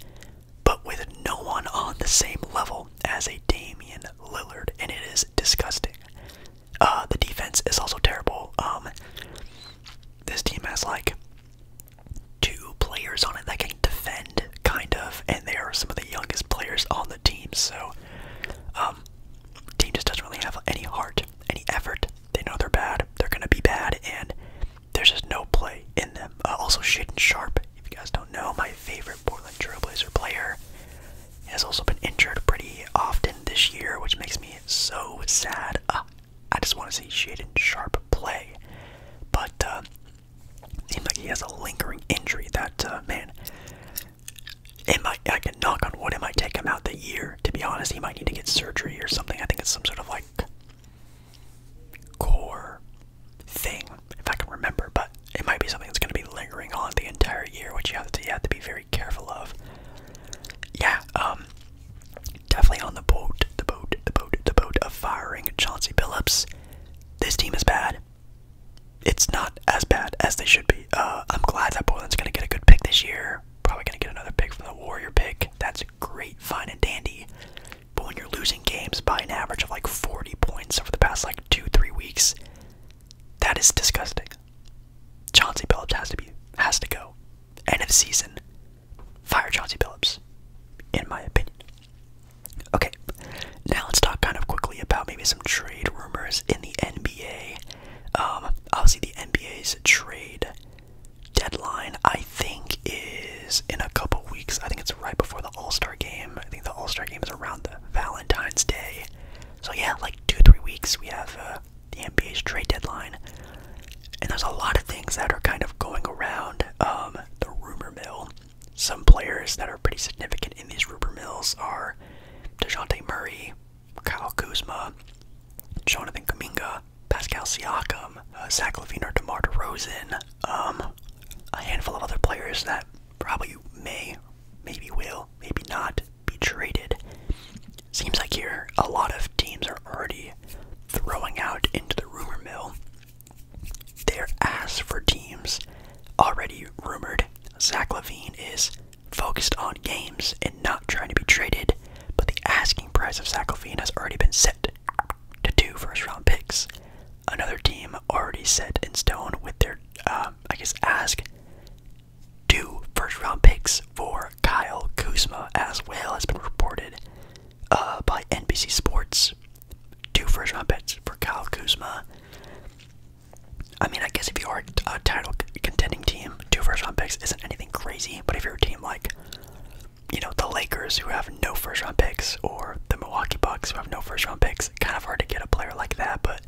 but with no one on the same level as a Damian Lillard, and it is disgusting. Uh, the defense is also terrible. Um, this team has like two players on it that can defend, kind of, and they are some of the youngest players on the team. So, um, team just doesn't really have any heart, any effort. They know they're bad. They're gonna be bad, and there's just no play in them. Uh, also, Shaden Sharp, if you guys don't know, my favorite Portland Trailblazer player has also been injured pretty often this year, which makes me so sad. Ah, I just want to see shaded Sharp play, but uh, seems like he has a lingering injury. That uh, man, it might. I can knock on wood. It might take him out the year. To be honest, he might need to get surgery or something. I think it's some sort of like core thing, if I can remember. But it might be something that's going to be lingering on the entire year, which you have to be very careful of. Yeah, um, definitely on the boat, the boat, the boat, the boat of firing Chauncey Billups. This team is bad. It's not as bad as they should be. Uh, I'm glad that Portland's gonna get a good pick this year. Probably gonna get another pick from the Warrior pick. That's great, fine and dandy. But when you're losing games by an average of like 40 points over the past like two, three weeks, that is disgusting. Chauncey Billups has to be has to go. End of season. Fire Chauncey Billups, in my opinion. Okay, now let's talk kind of quickly about maybe some trade rumors in the NBA. Um, obviously, the NBA's trade deadline, I think, is in a couple weeks. I think it's right before the All Star game. I think the All Star game is around Valentine's Day so yeah, like two three weeks we have uh, the NBA's trade deadline, and there's a lot of things that are kind of going around um, the rumor mill. Some players that are pretty significant in these rumor mills are Dejounte Murray, Kyle Kuzma, Jonathan Kaminga, Pascal Siakam, uh, Zach Levine or DeMar DeRozan, um, a handful of other players that probably may, maybe will, maybe not be traded. Seems like here a lot of teams are already throwing out into the rumor mill They're ass for teams already rumored. Zach Levine is focused on games and not trying to be traded, but the asking price of Zach Levine has already been set to two first round picks. Another team already set in stone with their, uh, I guess, ask two first round picks for Kyle Kuzma as well has been reported uh, by NBC Sports. Two first round picks for Kyle Kuzma. I mean, I guess if you are a title contending team, two first round picks isn't anything crazy, but if you're a team like, you know, the Lakers who have no first round picks or the Milwaukee Bucks who have no first round picks, kind of hard to get a player like that, but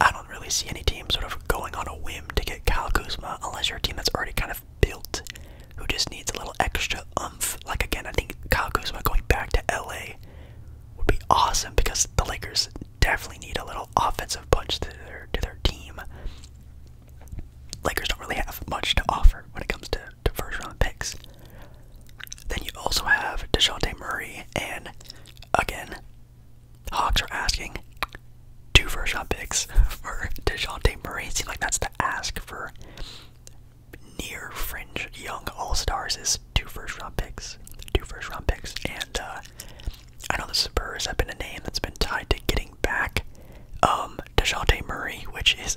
I don't really see any team sort of going on a whim to get Kyle Kuzma unless you're a team that's already kind of built, who just needs a little extra oomph. Like again, I think Kyle Kuzma going back to LA would be awesome because the Lakers definitely need a little offensive punch to their to their team. Lakers don't really have much to offer when it comes to, to first round picks. Then you also have DeJounte Murray and again Hawks are asking two first round picks for DeJounte Murray. Seems like that's the ask for near fringe young all stars is two first round picks. Two first round picks. And uh, I know the Spurs have been a name that's been tied to getting back um DeJounte Murray, which is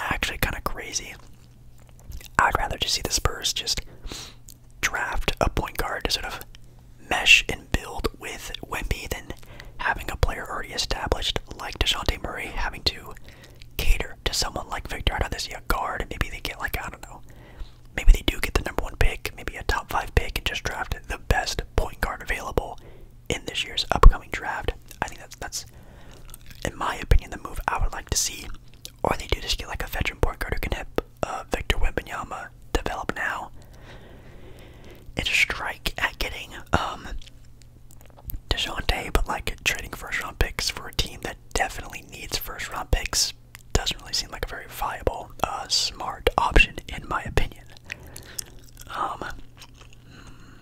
actually kinda crazy. I'd rather just see the Spurs just draft a point guard to sort of mesh and build with Wemby than having a player already established like DeJounte Murray having to cater to someone like Victor I don't Hernandez. See a guard, maybe they get like, I don't know, maybe they do get the number one pick, maybe a top five pick, and just draft the best point guard available in this year's upcoming draft. I think that's, that's in my opinion, the move I would like to see. Or they do just get like a veteran point guard who can hit of uh, Victor Wembanyama develop now. It's a strike at getting um Dejounte, but like trading first round picks for a team that definitely needs first round picks doesn't really seem like a very viable, uh, smart option in my opinion. Um, hmm,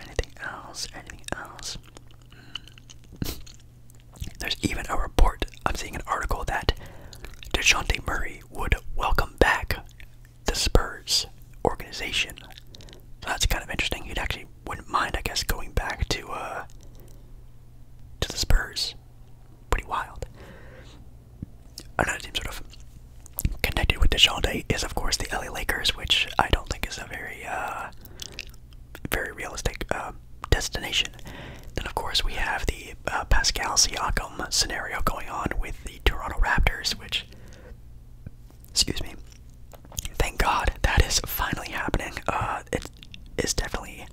anything else? Anything else? Hmm. There's even a report, I'm seeing an article that DeJounte Murray would welcome back the Spurs organization. that's kind of interesting. He'd actually wouldn't mind, I guess, going back to uh to the Spurs. Pretty wild. Another team sort of connected with DeJounte is of course the LA Lakers, which I don't think is a very uh, very realistic uh, destination. Then, of course, we have the uh, Pascal Siakam scenario going on with the Toronto Raptors, which, excuse me, thank God that is finally happening. Uh, it is definitely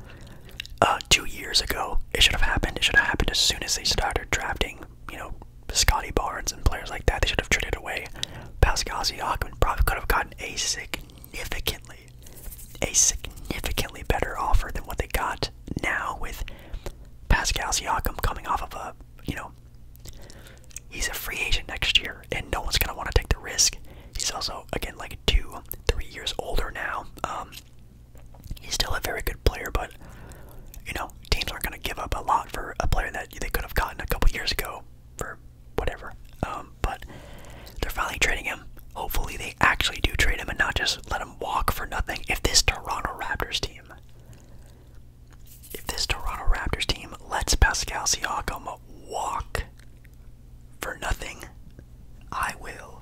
two years ago. It should have happened. It should have happened as soon as they started drafting, you know, Scotty Barnes and players like that. They should have traded away Pascal Siakam. Probably could have gotten a significantly a significantly better offer than what they got now with Pascal Siakam coming off of a, you know, he's a free agent next year and no one's going to want to take the risk. He's also, again, like two, three years older now. Um, he's still a very good player, but, you know, teams aren't going to give up a lot for a player that they could have gotten a couple years ago for whatever. Um, but they're finally trading him. Hopefully, they actually do trade him and not just let him walk for nothing. If this Toronto Raptors team, if this Toronto Raptors team lets Pascal Siakam walk for nothing, I will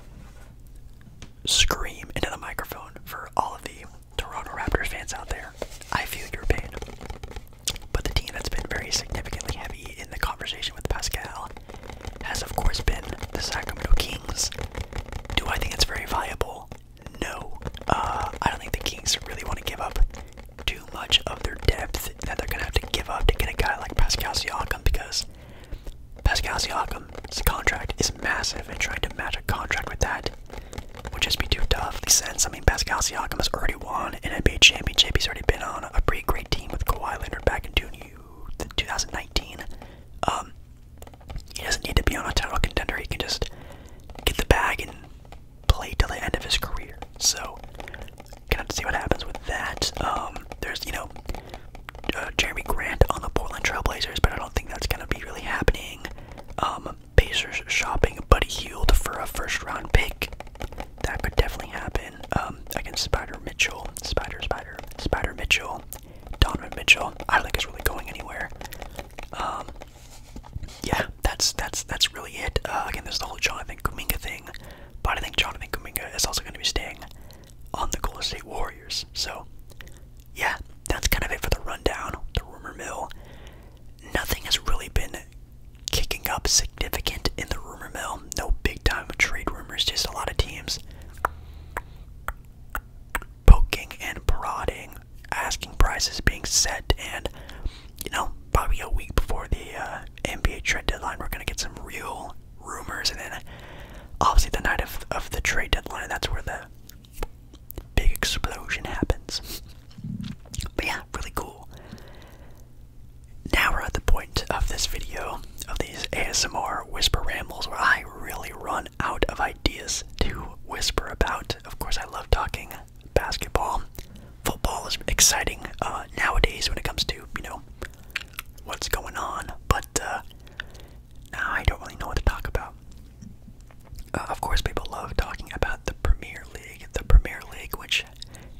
scream into the microphone for all of the Toronto Raptors fans out there. I feel your pain. But the team that's been very significantly heavy in the conversation with Pascal has, of course, been the Sacramento Kings. Do I think it's very viable? No. Uh, I don't think the Kings really want to give up too much of their depth that they're going to have to give up to get a guy like Pascal Siakam because Pascal Siakam's contract is massive and trying to match a contract with that would just be too tough. Makes sense. I mean, Pascal Siakam has already won an NBA championship. He's already been on a pretty great team with Kawhi Leonard back in 2000. 2019. Um, he doesn't need to be on a title contender. He can just get the bag and play till the end of his career. So, gonna have to see what happens with that. Um, there's you know uh, Jeremy Grant on the Portland Trailblazers, but I don't think that's gonna be really happening. Um, Pacers shopping Buddy Heald for a first round pick that could definitely happen um, against Spider Mitchell. Spider, Spider, Spider Mitchell, Donovan Mitchell. I don't think it's really going anywhere. Um, yeah, that's that's that's really it. Uh, again, there's the whole Jonathan Kuminga thing, but I think Jonathan Kuminga is also going to be staying on the Golden State Warriors. So, yeah, that's kind of it for the rundown, the rumor mill. Nothing has really been kicking up significant in the rumor mill. No big time with trade rumors, just a lot of teams poking and prodding, asking prices being set, and you know, probably a week before the uh, NBA trade deadline, we're gonna get some real rumors, and then obviously the night of of the trade deadline, that's where the big explosion happens. But yeah, really cool now we're at the point of this video of these ASMR whisper rambles where I really run out of ideas to whisper about. Of course, I love talking basketball. Football is exciting uh, nowadays when it comes to, you know, what's going on, but uh, now I don't really know what to talk about. Uh, of course, people love talking about the Premier League, the Premier League, which,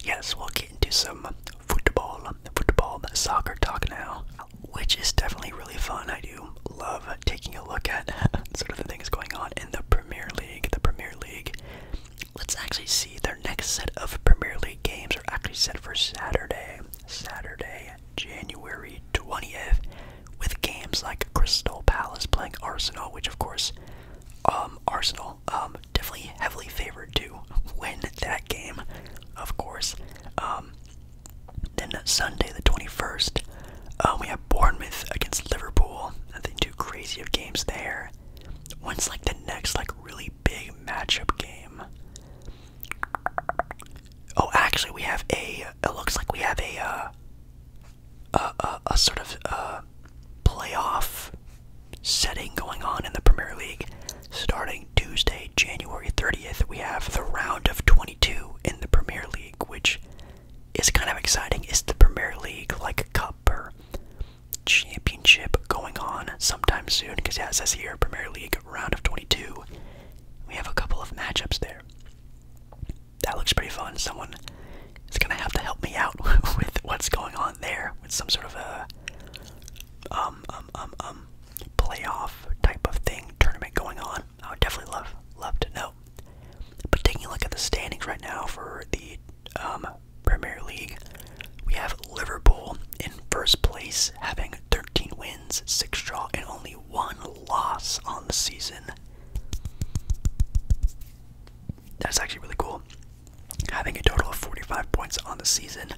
yes, we'll get into some football, football, soccer talk now, which is definitely really fun. I do love taking a look at sort of the things going on in the Premier League. The Premier League. Let's actually see their next set of Premier League games are actually set for Saturday, Saturday, January 20th, with games like Crystal Palace playing Arsenal, which of course, um, Arsenal, um, definitely heavily favored to win that game, of course. Um, then Sunday the 21st, um, uh, we have Bournemouth against Liverpool. Nothing too crazy of games there. When's like the next like really big matchup game? Oh, actually, we have a. It looks like we have a uh, a, a, a sort of uh, playoff setting going on in the Premier League. Starting Tuesday, January 30th, we have the round of 22 in the Premier League, which is kind of exciting. Is the Premier League like a cup or championship going on sometime soon because, yeah, it says here Premier League round of 22. We have a couple of matchups there. That looks pretty fun. Someone is going to have to help me out with what's going on there with some sort of a. Um, um, um, um, playoff type of thing, tournament going on, I would definitely love love to know. But taking a look at the standings right now for the um, Premier League, we have Liverpool in first place, having 13 wins, 6 draw, and only one loss on the season. That's actually really cool having a total of 45 points on the season,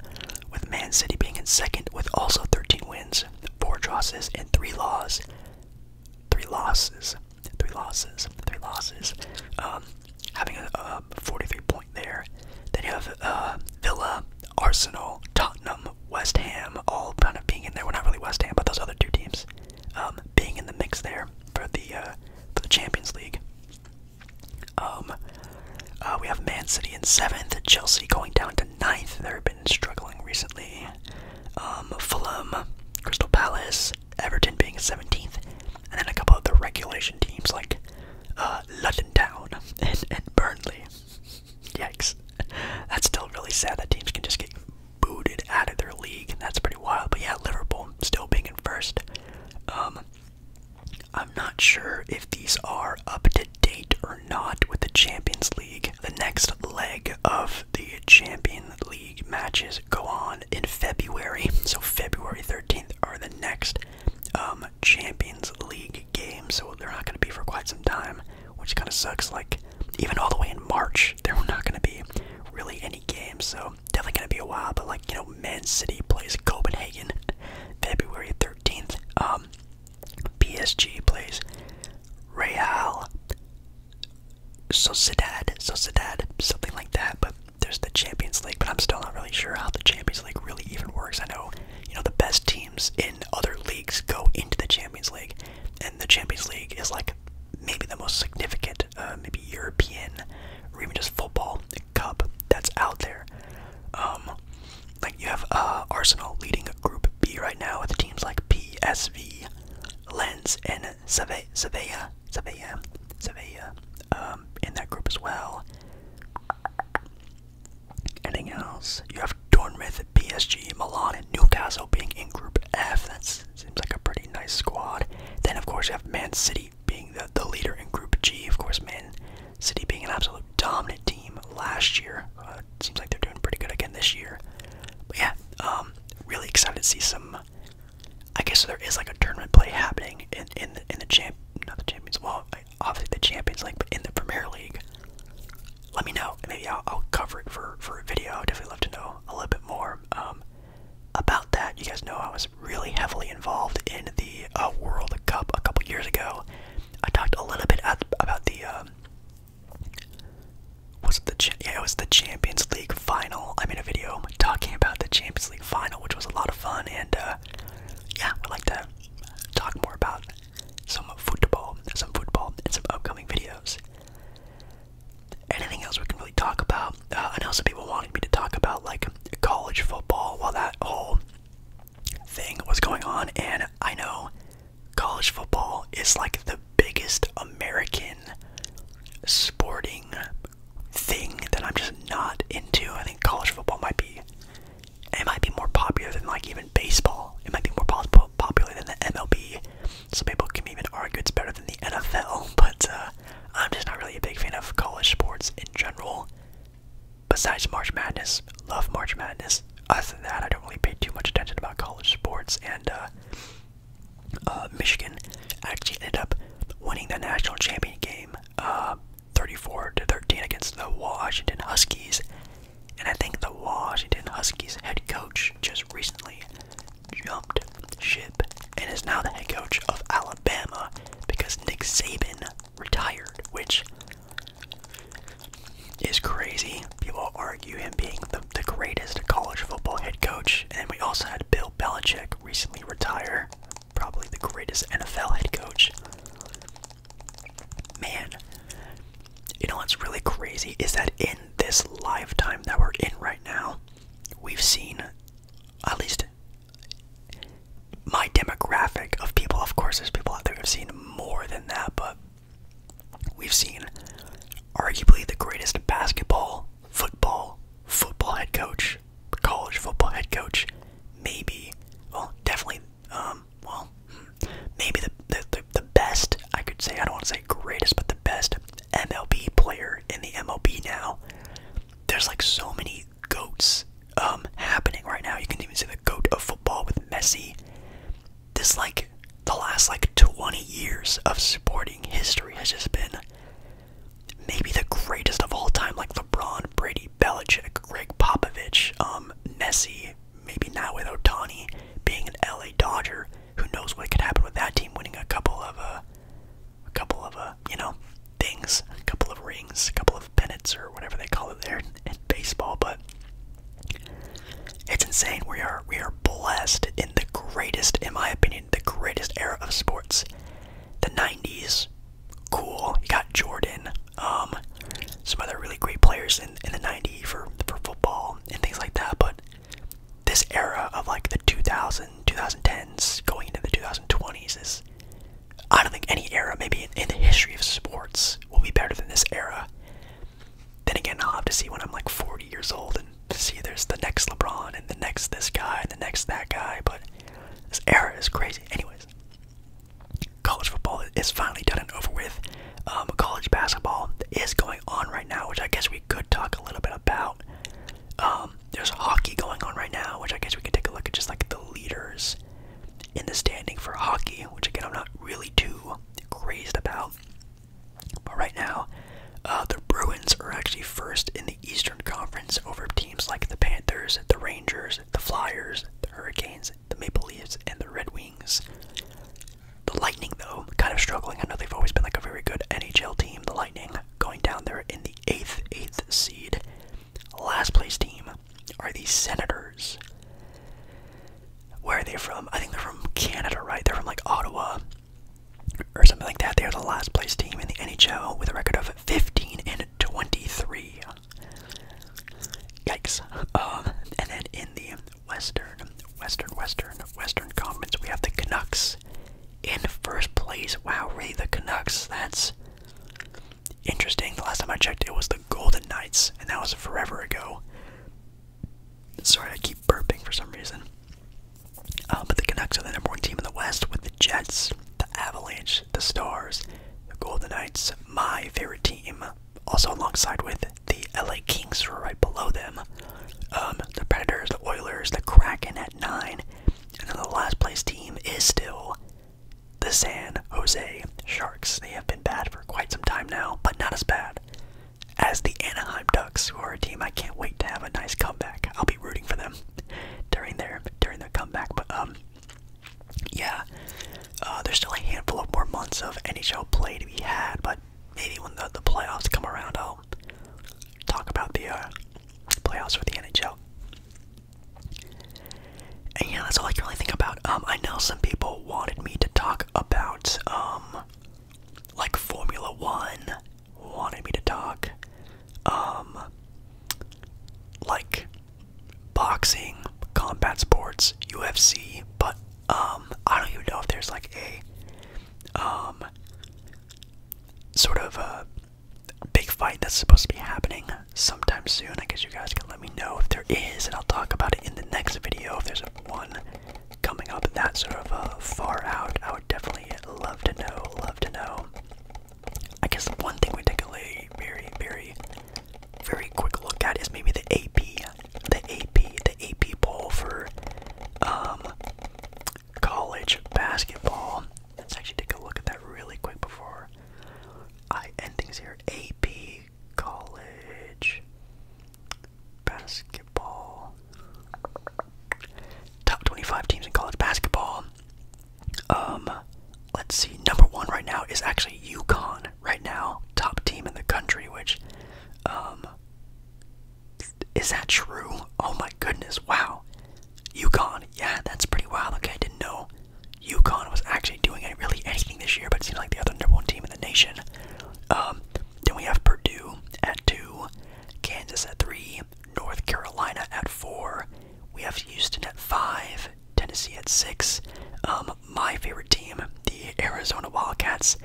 with Man City being in second with also 13 wins, 4 losses, and 3 losses. 3 losses. 3 losses. 3 um, losses. having a, 43 point there. Then you have uh, Villa, Arsenal, Tottenham, West Ham, all kind of being in there. We're not really West Ham, but those other two teams um, being in the mix there for the, uh, for the Champions League. Um, uh, we have Man City in seventh, Chelsea going down to ninth. They've been struggling recently. Um, Fulham, Crystal Palace, Everton being seventeenth, and then a couple of the regulation teams like uh, London Town and, Burnley. Yikes! That's still really sad that teams can just get booted out of their league. That's pretty wild. But yeah, Liverpool still being in first. Um, I'm not sure if these are up to date or not with the Champions League. The next leg of the Champions League matches go on in February. So February 13th are the next um, Champions League games. So they're not going to be for quite some time, which kind of sucks. Like even all the way in March, there were not going to be really any games. So definitely going to be a while. But like you know, Man City plays Copenhagen February 13th. 13th. Um, PSG plays Real Sociedad, Sociedad, something like that. But there's the Champions League, but I'm still not really sure how the Champions League really even works. I know, you know, the best teams in other leagues go into the Champions League, and the Champions League is like maybe the most significant, uh, maybe European or even just football cup that's out there. Um, like you have uh, Arsenal leading Group B right now with teams like PSV, Lens, and Sevilla, Sevilla, Sevilla, Sevilla um, in that group as well. Anything else? You have Dortmund, PSG, Milan, and Newcastle being in Group F. That seems like a pretty nice squad. Then, of course, you have Man City being the, the leader in Group G. Of course, Man City being an absolute dominant team last year. Uh, seems like they're doing pretty good again this year. But yeah, um, really excited to see some. I guess there is like a tournament play happening in in the, in the champ, not the Champions. Well, obviously the Champions League, but in the Premier League. Let me know. Maybe I'll, cover it for for a video. I'd definitely love to know a little bit more um, about that. You guys know I was really heavily involved in the uh, World Cup a couple years ago. I talked a little bit about the um, was it the yeah it was the Champions League final. I made a video talking about the Champions League final, which was a lot of fun, and uh, yeah, would like to talk more about some football, some football, and some upcoming videos. Anything else we can really talk about? Uh, I know some people wanted me to talk about like college football while that whole thing was going on, and I know college football is like the biggest American sporting thing that I'm just not into. I think college football might be it might be more popular than like even baseball. It might be more popular than the MLB. Some people can even argue it's better than the NFL, but uh, I'm just not really a big fan of college sports in general besides March Madness, love March Madness. Other than that, I don't really pay too much attention about college sports, and uh, uh, Michigan actually ended up winning the national championship game, uh, 34 to 13 against the Washington Huskies. And I think the Washington Huskies head coach just recently jumped ship and is now the head coach of Alabama because Nick Saban retired, which is crazy. People argue him being the, the greatest college football head coach. And we also had Bill Belichick recently retire, probably the greatest NFL head coach. Man, you know what's really crazy is that in this lifetime that we're in right now, we've seen, at least my demographic of people, of course, there's people out there who've seen more than that, but we've seen arguably the greatest basketball, football, football head coach, college football head coach, maybe, well, definitely, um, well, hmm, maybe the, the the best, I could say, I don't want to say greatest, but the best MLB player in the MLB now. There's like so many goats um, happening right now. You can even see the goat of football with Messi. This like the last like 20 years of sporting history has just been maybe the greatest of all time. Like LeBron, Brady, Belichick, Greg Popovich, um, Messi. Maybe now with Otani being an LA Dodger, who knows what could happen with that team winning a couple of uh, a couple of a uh, you know things, a couple of rings, a couple of pennants or whatever they call it there and baseball, but it's insane. We are we are blessed in the greatest, in my opinion, the greatest era of sports. The nineties, cool. You got Jordan, um, some other really great players in, in the '90s for for football and things like that, but this era of like the 2000, 2010s going into the 2020s is I don't think any era, maybe in, the history of sports, will be better than this era. Then again, I'll have to see when I'm like 40 years old and see there's the next LeBron and the next this guy and the next that guy. But this era is crazy. Anyways, college football is finally done and over with. Um, college basketball is going on right now, which I guess we could talk a little bit about. Um, there's hockey going on right now, which I guess we could take a look at just like the leaders in the standing for hockey, which again I'm not really too crazed about. But right now, uh, the Bruins are actually first in the Eastern Conference over teams like the Panthers, the Rangers, the Flyers, the Hurricanes, the Maple Leafs, and the Red Wings. The Lightning, though, kind of struggling. I know they've always been like a very good NHL team. The Lightning going down there in the eighth, eighth seed. Last place team are these Senators. Where are they from? I think they're from Canada, right? They're from like Ottawa or something like that. They are the last place team in the NHL with a record of 15 and 23. Yikes. Um, and then in the Western, Western, Western, Western Conference, we have the Canucks in first place. Wow, really, the Canucks. That's Interesting. The last time I checked, it was the Golden Knights, and that was forever ago. Sorry, I keep burping for some reason. Uh, but the Canucks are the number one team in the West with the Jets, the Avalanche, the Stars, the Golden Knights, my favorite team, also alongside with the LA Kings who are right below them. Um, the Predators, the Oilers, the Kraken at nine, and then the last place team is still the San Jose Sharks. They have been bad for quite some time now, but not as bad as the Anaheim Ducks, who are a team I can't wait to have a nice comeback. I'll be rooting for them during their during their comeback. But um, yeah, uh, there's still a handful of more months of NHL play to be had, but maybe when the, the playoffs come around, I'll talk about the uh, playoffs for the NHL. And yeah, that's all I can really think about. Um, I know some people wanted me to talk about um, like Formula One. Wanted me to talk, um, like boxing, combat sports, UFC. But I don't even know if there's like a um sort of a big fight that's supposed to be happening sometime soon. I guess you guys can let me know if there is, and I'll talk about it in the next video if there's one coming up that sort of a uh, far out. I would definitely love to know, love to know. I guess one thing we take a very, very, very quick look at is maybe the AP, the AP, the AP poll for um, college basketball. Let's actually take a look at that really quick before I endings here. AP college basketball. Top 25 teams in college basketball. Um, let's see. Number one right now is actually UConn. Right now, top team in the country. Which, um, is that true? Oh my goodness! Wow, UConn. Yeah, that's pretty wild. Okay, I didn't know UConn was actually doing really anything this year, but it seems like the other number one team in the nation. Um, then we have Purdue at two, Kansas at three, North Carolina at four. We have Houston at five, Tennessee at six. Um, my favorite team, the Arizona Wildcats,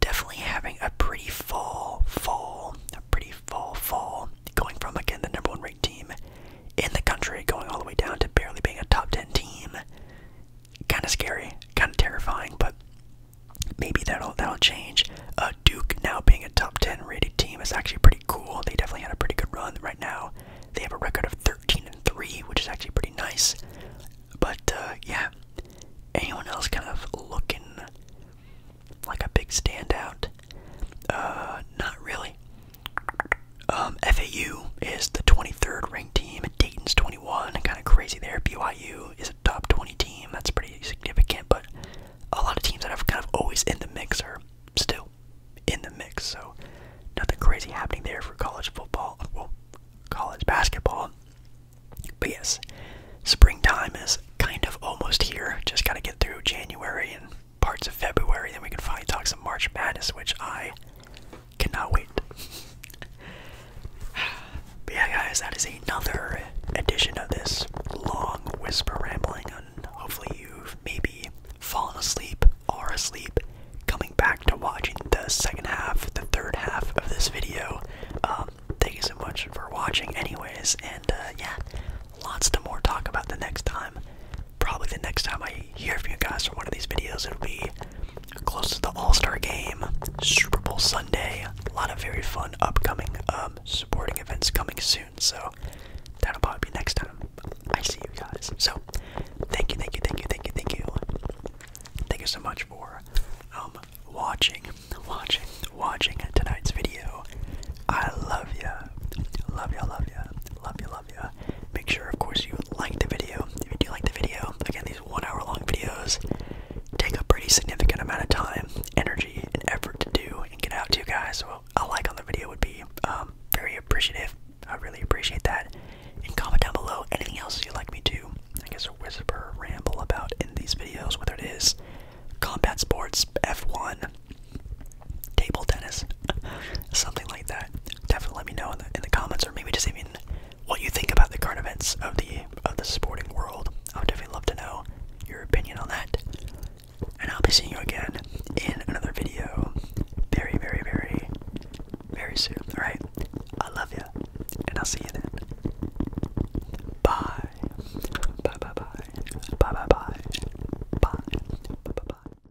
definitely having a pretty fall, fall, a pretty fall, fall, going from again the number one ranked team in the country, going all the way down to barely being a top 10 team. Kind of scary, kind of terrifying, but maybe that'll that'll change. Uh, Duke now being a top 10 rated team is actually pretty cool. They definitely had a pretty good run right now. They have a record of 13 and 3, which is actually pretty nice. But uh, yeah, anyone else kind of looking like a big standout? Uh, not really. Um, FAU is the 23rd ranked team. Dayton's 21. Kind of crazy there. BYU is a top 20 team. That's pretty significant, but a lot of teams that have kind of always in the mix are still in the mix. So nothing crazy happening there for college football. college basketball. But yes, springtime is kind of almost here. Just got to get through January and parts of February, then we can finally talk some March Madness, which I cannot wait. but yeah, guys, that is another edition of this long whisper rambling, and hopefully you've maybe fallen asleep, or asleep, coming back to watching the second half, the third half of this video. Um, thank you so much for watching, anyways, and uh, yeah, lots to more talk about the next time probably the next time I hear from you guys for one of these videos, it'll be close to the All Star game, Super Bowl Sunday. A lot of very fun upcoming um, supporting events coming soon. So that'll probably be next time I see you guys. So thank you, thank you, thank you, thank you, thank you. Thank you so much for um, watching, watching, watching tonight's video. I love ya. Love ya, love ya. Love ya, love ya love Make sure, of course, you like the video. If you do like the video, again, these one hour long videos take a pretty significant amount of time, energy, and effort to do and get out to you guys. So, a like on the video would be um, very appreciative. I really appreciate that. And comment down below anything else you'd like me to, I guess, whisper, ramble about in these videos, whether it is combat sports, F1, table tennis, something like that. Definitely let me know in the in the comments, or maybe just even what you think about the current events of the of the sporting world. I would definitely love to know your opinion on that. And I'll be seeing you again in another video, very, very, very, very soon. All right, I love you, and I'll see you then. Bye. Bye. Bye. Bye. Bye. Bye. Bye. Bye. Bye. Bye.